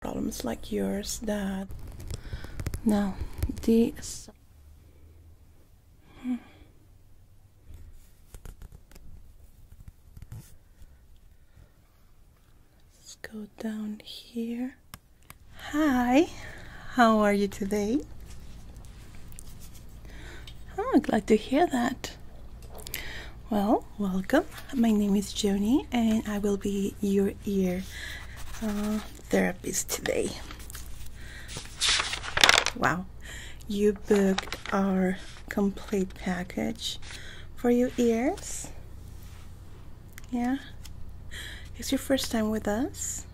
problems like yours that now this let's go down here hi how are you today oh glad to hear that well welcome. My name is Joni, and I will be your ear uh, therapist today. Wow, you booked our complete package for your ears. Yeah, it's your first time with us.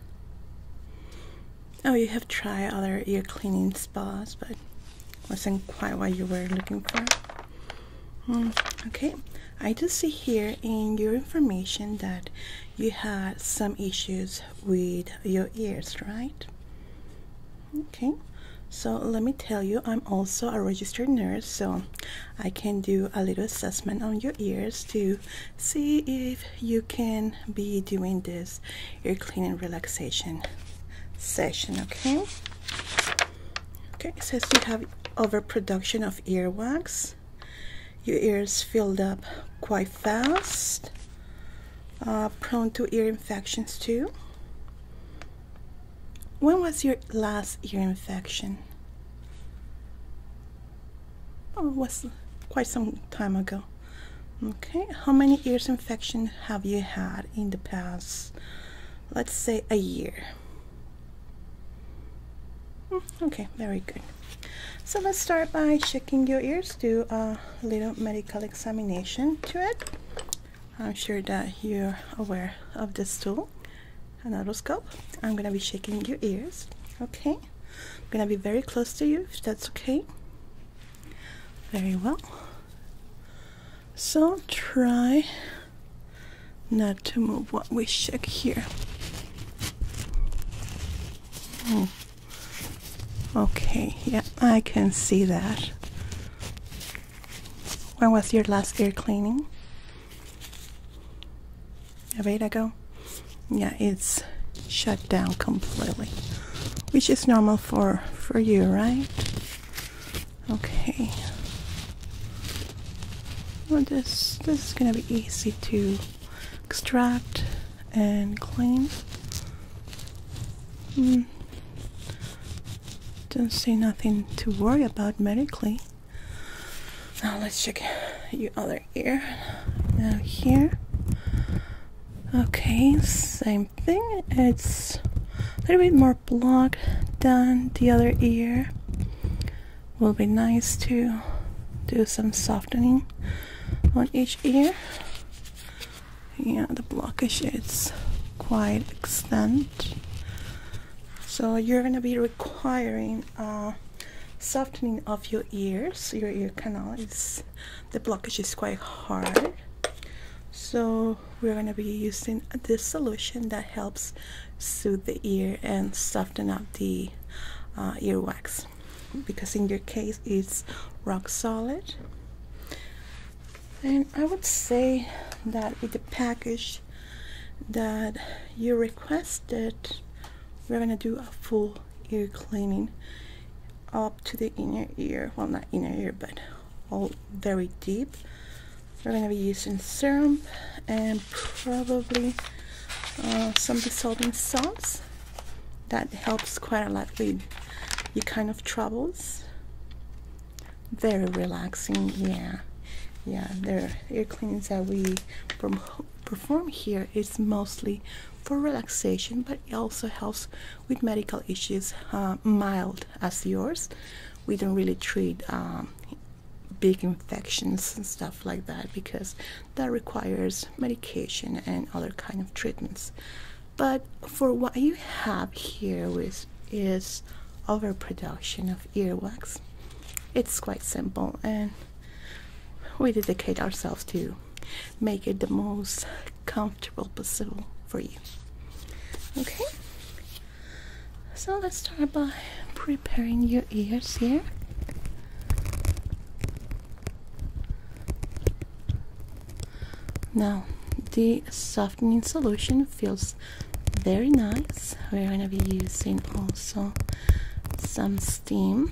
Oh, you have tried other ear cleaning spas, but wasn't quite what you were looking for. Hmm, okay, I just see here in your information that you had some issues with your ears, right? Okay, so let me tell you, I'm also a registered nurse, so I can do a little assessment on your ears to see if you can be doing this ear cleaning relaxation session, okay? Okay, it says you have overproduction of earwax. Your ears filled up quite fast. Uh, prone to ear infections too. When was your last ear infection? Oh, it was quite some time ago. Okay, how many ears infections have you had in the past, let's say a year? Hmm, okay, very good. So let's start by checking your ears, do a little medical examination to it. I'm sure that you're aware of this tool, an otoscope. I'm gonna be checking your ears, okay? I'm gonna be very close to you, that's okay. Very well. So try not to move what we shook here. Hmm. Okay, yeah, I can see that. When was your last ear cleaning? A bit ago? Yeah, it's shut down completely. Which is normal for for you, right? Okay. Well, this this is gonna be easy to extract and clean. Hmm. Don't see nothing to worry about medically. Now let's check your other ear. Now here. Okay, same thing. It's a little bit more blocked than the other ear will be nice to do some softening on each ear yeah the blockage is quite extent so you're gonna be requiring uh, softening of your ears your ear canal is the blockage is quite hard so we're gonna be using this solution that helps soothe the ear and soften up the uh, earwax because in your case it's rock solid and I would say that with the package that you requested we're gonna do a full ear cleaning up to the inner ear well not inner ear but all very deep we're going to be using serum and probably uh, some dissolving salts. That helps quite a lot with your kind of troubles. Very relaxing, yeah. Yeah, the air cleanings that we perform here is mostly for relaxation, but it also helps with medical issues, uh, mild as yours. We don't really treat um, big infections and stuff like that because that requires medication and other kind of treatments but for what you have here with is overproduction of earwax it's quite simple and we dedicate ourselves to make it the most comfortable possible for you okay so let's start by preparing your ears here. Now, the softening solution feels very nice. We're going to be using also some steam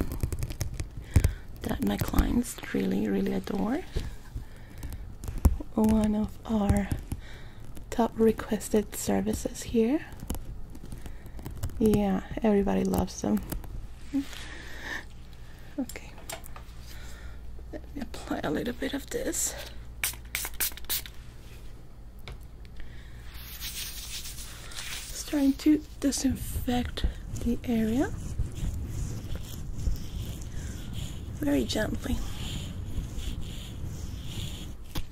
that my clients really, really adore. One of our top requested services here. Yeah, everybody loves them. Hmm. Okay, let me apply a little bit of this. trying to disinfect the area very gently.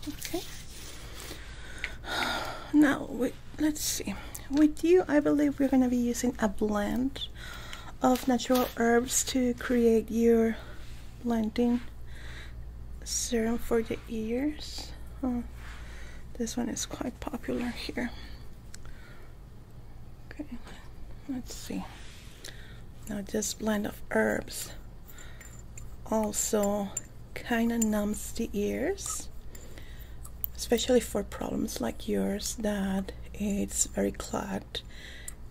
Okay. Now, we, let's see. With you, I believe we're going to be using a blend of natural herbs to create your blending serum for the ears. Hmm. this one is quite popular here. Okay, let's see. Now just blend of herbs also kind of numbs the ears especially for problems like yours that it's very clogged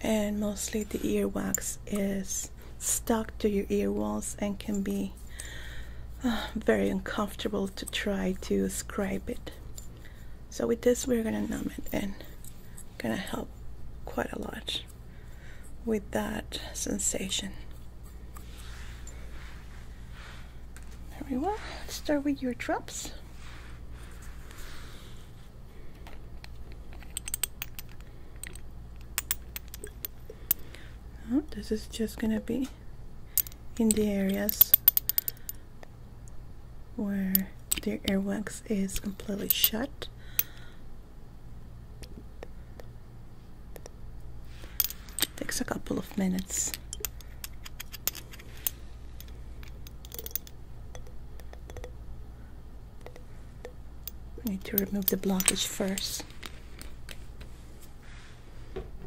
and mostly the earwax is stuck to your ear walls and can be uh, very uncomfortable to try to scrape it so with this we're gonna numb it and gonna help quite a lot with that sensation. Very well. let start with your drops. Oh, this is just gonna be in the areas where the earwax is completely shut Takes a couple of minutes. We need to remove the blockage first.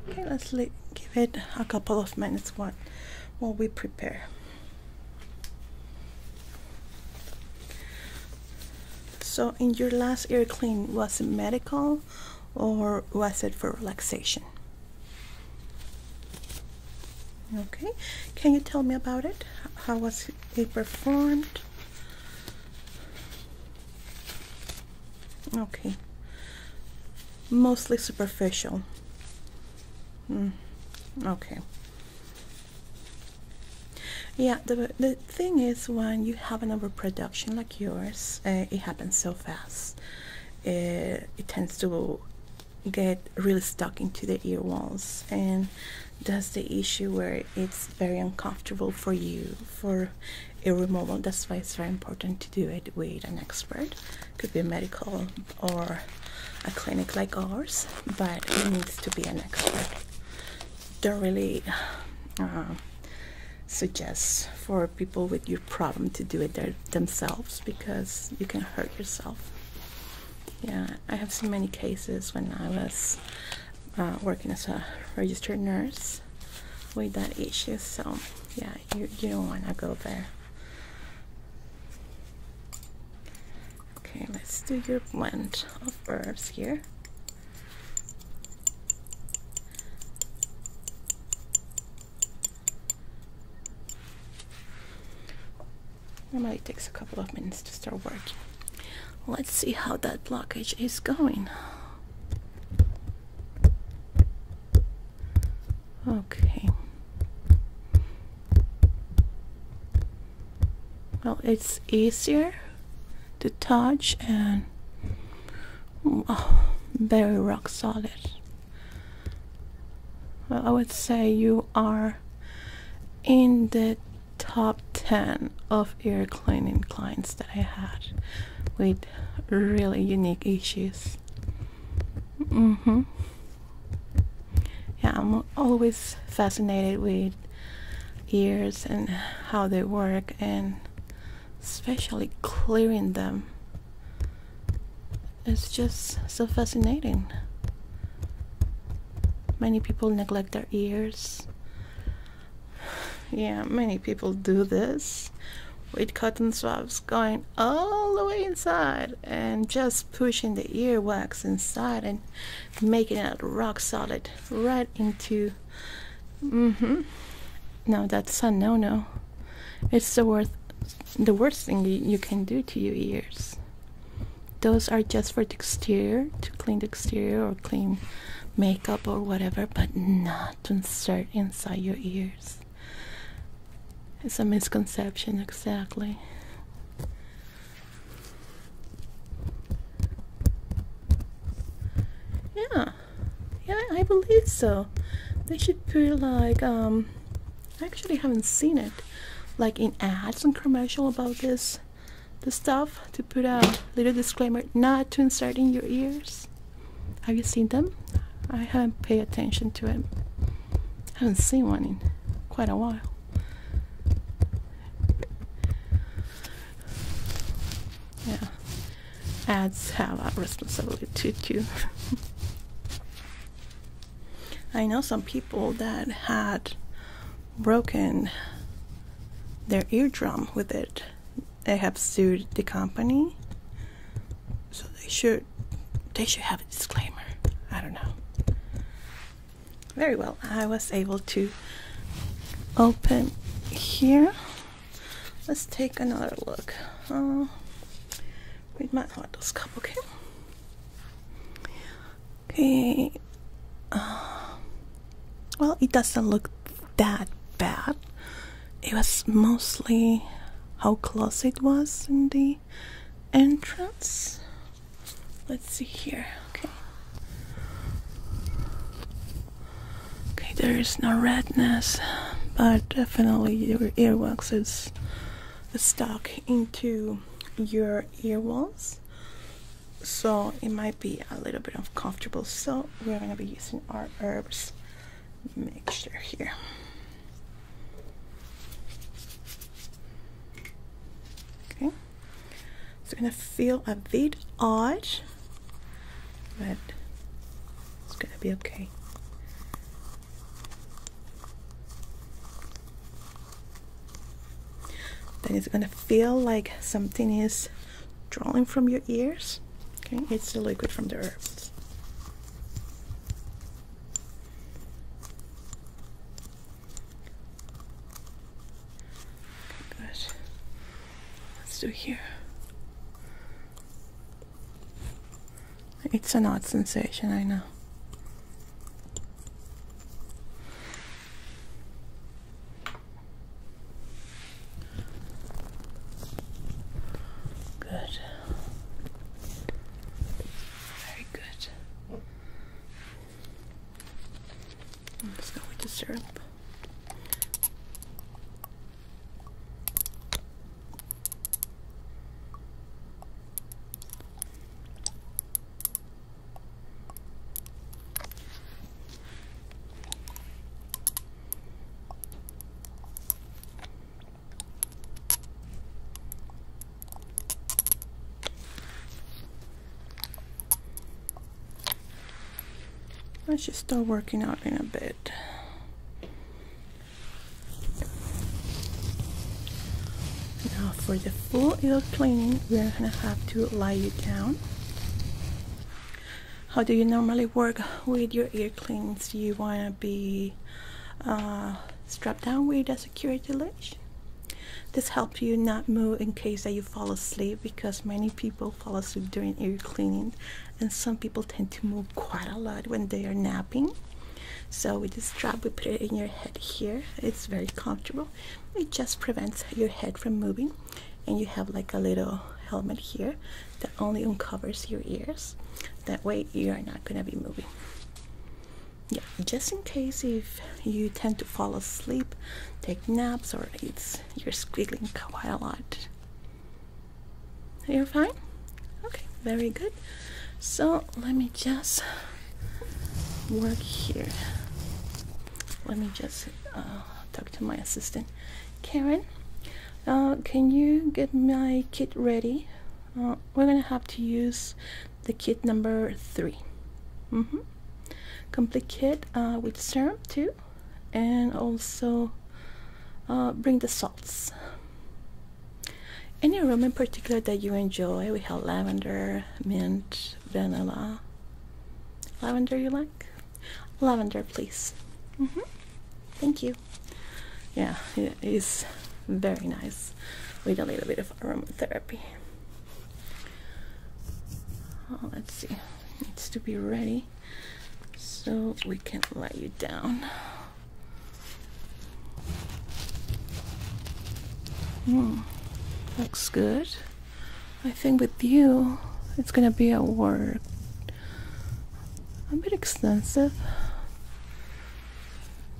Okay, let's give it a couple of minutes while, while we prepare. So in your last ear clean, was it medical or was it for relaxation? Okay, can you tell me about it? How was it performed? Okay, mostly superficial. Mm. Okay, yeah, the, the thing is when you have an overproduction like yours, eh, it happens so fast. Eh, it tends to get really stuck into the ear walls and that's the issue where it's very uncomfortable for you for ear removal. That's why it's very important to do it with an expert. Could be a medical or a clinic like ours, but it needs to be an expert don't really uh, suggest for people with your problem to do it themselves because you can hurt yourself. Yeah, I have seen many cases when I was uh, working as a registered nurse with that issue. So yeah, you you don't want to go there. Okay, let's do your blend of verbs here. Normally it takes a couple of minutes to start working. Let's see how that blockage is going. Okay well it's easier to touch and oh, very rock solid well I would say you are in the top 10 of ear cleaning clients that I had with really unique issues mm-hmm yeah I'm always fascinated with ears and how they work and especially clearing them is just so fascinating many people neglect their ears yeah many people do this with cotton swabs going all the way inside and just pushing the earwax inside and making it rock solid right into mm-hmm. no that's a no-no it's the worst the worst thing you, can do to your ears those are just for the exterior to clean the exterior or clean makeup or whatever but not to insert inside your ears it's a misconception exactly yeah, yeah, I believe so. They should put like um, I actually haven't seen it, like in ads and commercial about this, the stuff to put a little disclaimer not to insert in your ears. Have you seen them? I haven't paid attention to it. I haven't seen one in quite a while. Yeah, ads have a responsibility too. I know some people that had broken their eardrum with it. They have sued the company, so they should they should have a disclaimer. I don't know very well i was able to open here let's take another look uh, with my otoscope okay okay uh, well it doesn't look that bad it was mostly how close it was in the entrance Let's see here. Okay. Okay, there is no redness, but definitely your earwax is stuck into your ear walls. So it might be a little bit uncomfortable. So we're gonna be using our herbs mixture here. Okay. It's going to feel a bit odd, but it's going to be okay. Then it's going to feel like something is drawing from your ears. Okay, it's the liquid from the herbs good. Let's do here. It's an odd sensation, I know. Good. Very good. I'm just going to syrup. I should start working out in a bit. Now for the full ear cleaning, we are gonna have to lie you down. How do you normally work with your ear cleans? Do You wanna be uh, strapped down with a security leash this helps you not move in case that you fall asleep because many people fall asleep during ear cleaning and some people tend to move quite a lot when they are napping. So with this strap we put it in your head here. It's very comfortable. It just prevents your head from moving and you have like a little helmet here that only uncovers your ears. That way you are not going to be moving yeah, just in case if you tend to fall asleep, take naps, or it's you're squiggling quite a lot. You're fine? Okay, very good. So let me just work here. Let me just uh, talk to my assistant. Karen, uh, can you get my kit ready? Uh, we're gonna have to use the kit number three. Mm-hmm. Complete kit uh, with serum too, and also uh, bring the salts. Any room in particular that you enjoy? We have lavender, mint, vanilla. Lavender you like? Lavender, please. Mm-hmm. Thank you. Yeah, it is very nice We need a bit of aromatherapy let's see. It needs to be ready so we can let you down. Hmm. Looks good. I think with you, it's gonna be a work a bit extensive,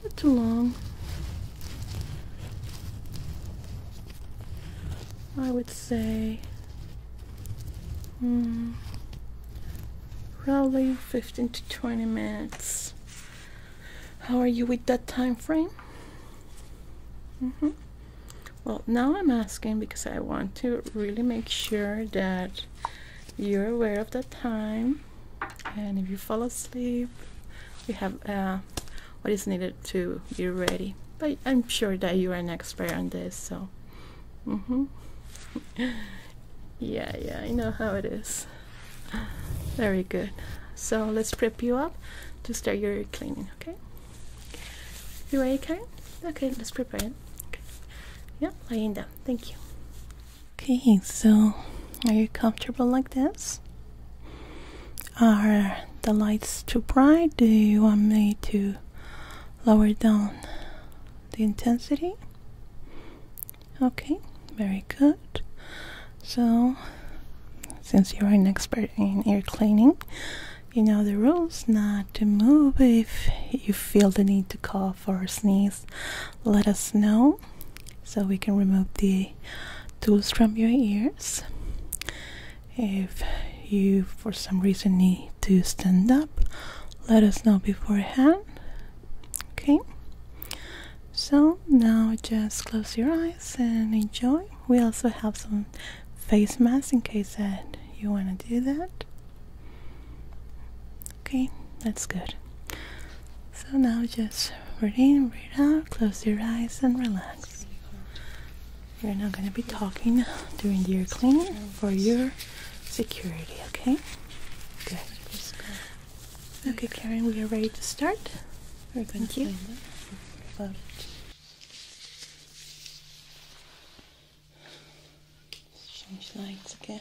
not too long. I would say hmm, probably 15 to 20 minutes. How are you with that time frame? Mm-hmm. Well, now I'm asking because I want to really make sure that you're aware of that time. And if you fall asleep, we have a what is needed to be ready. But I'm sure that you are an expert on this, so. Mm -hmm. yeah, yeah, I know how it is. Very good. So let's prep you up to start your cleaning, okay? You ready, Karen? Okay, let's prepare it. Okay. Yeah, laying down. Thank you. Okay, so are you comfortable like this? Are the lights too bright? Do you want me to lower down the intensity? Okay, very good. So, since you're an expert in ear cleaning, you know the rules not to move if you feel the need to cough or sneeze let us know so we can remove the tools from your ears. If you for some reason need to stand up, let us know beforehand. Okay, so now just close your eyes and enjoy. We also have some face masks in case that you want to do that. Okay, that's good. So now just breathe in, breathe out, close your eyes, and relax relax. We're not going to be talking during the ear cleaning for your security, okay? Good. Okay, Karen, we are ready to start. We're going Thank to change lights again.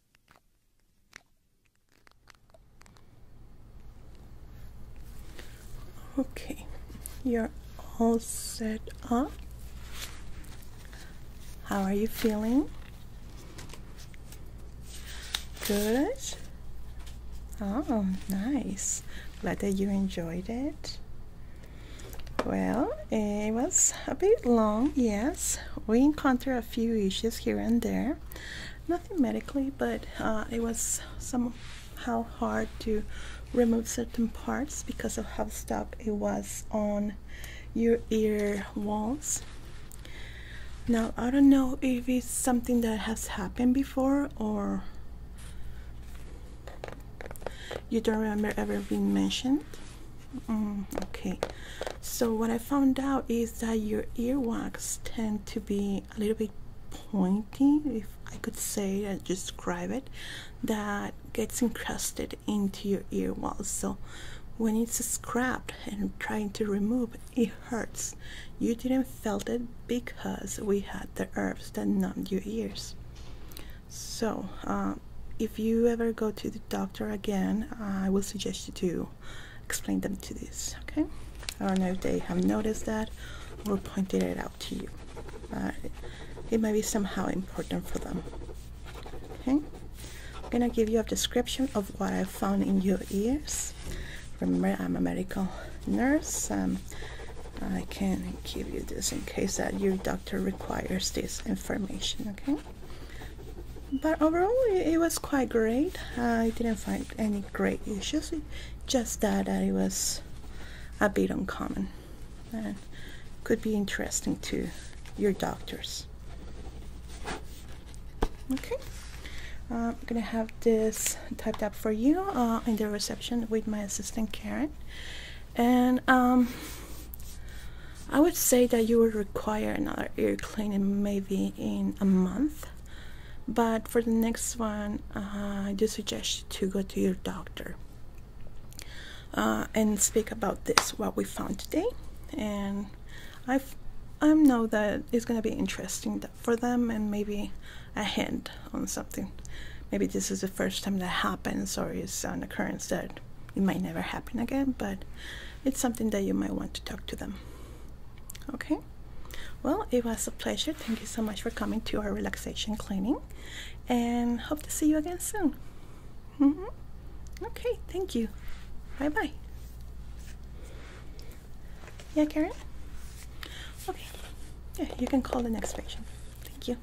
Okay, you're all set up. How are you feeling? Good. Oh, nice. Glad that you enjoyed it. Well, it was a bit long, yes. We encountered few issues here and there. Nothing medically, but uh, it was somehow hard to remove certain parts because of how stuck it was on your ear walls. Now, I don't know if it's something that has happened before or you don't remember ever being mentioned Mm, okay, so what I found out is that your earwax tend to be a little bit pointy, if I could say and describe it, that gets encrusted into your ear So when it's scraped and trying to remove it hurts. You didn't felt it because we had the herbs that numbed your ears. So um, if you ever go to the doctor again, I will suggest you to explain them to this, okay? I don't know if they have noticed that or pointed it out to you, it might be somehow important for them, okay? I'm gonna give you a description of what I found in your ears. Remember, I'm a medical nurse. Um, I can give you this in case that your doctor requires this information, okay? but overall it, was quite great uh, I didn't find any great issues just that, it was a bit uncommon and could be interesting to your doctors okay I'm gonna have this typed up for you uh, in the reception with my assistant Karen and um, I would say that you would require another ear cleaning maybe in a month. But for the next one, uh, I do suggest to go to your doctor uh, and speak about this, what we found today. And I I know that it's going to be interesting for them and maybe a hint on something. Maybe this is the first time that happens or it's an occurrence that it might never happen again, but it's something that you might want to talk to them. Okay, well, it was a pleasure. Thank you so much for coming to our relaxation cleaning and hope to see you again soon. Mm-hmm. Okay, thank you. Bye bye. Yeah, Karen? Okay, yeah, you can call the next patient. Thank you.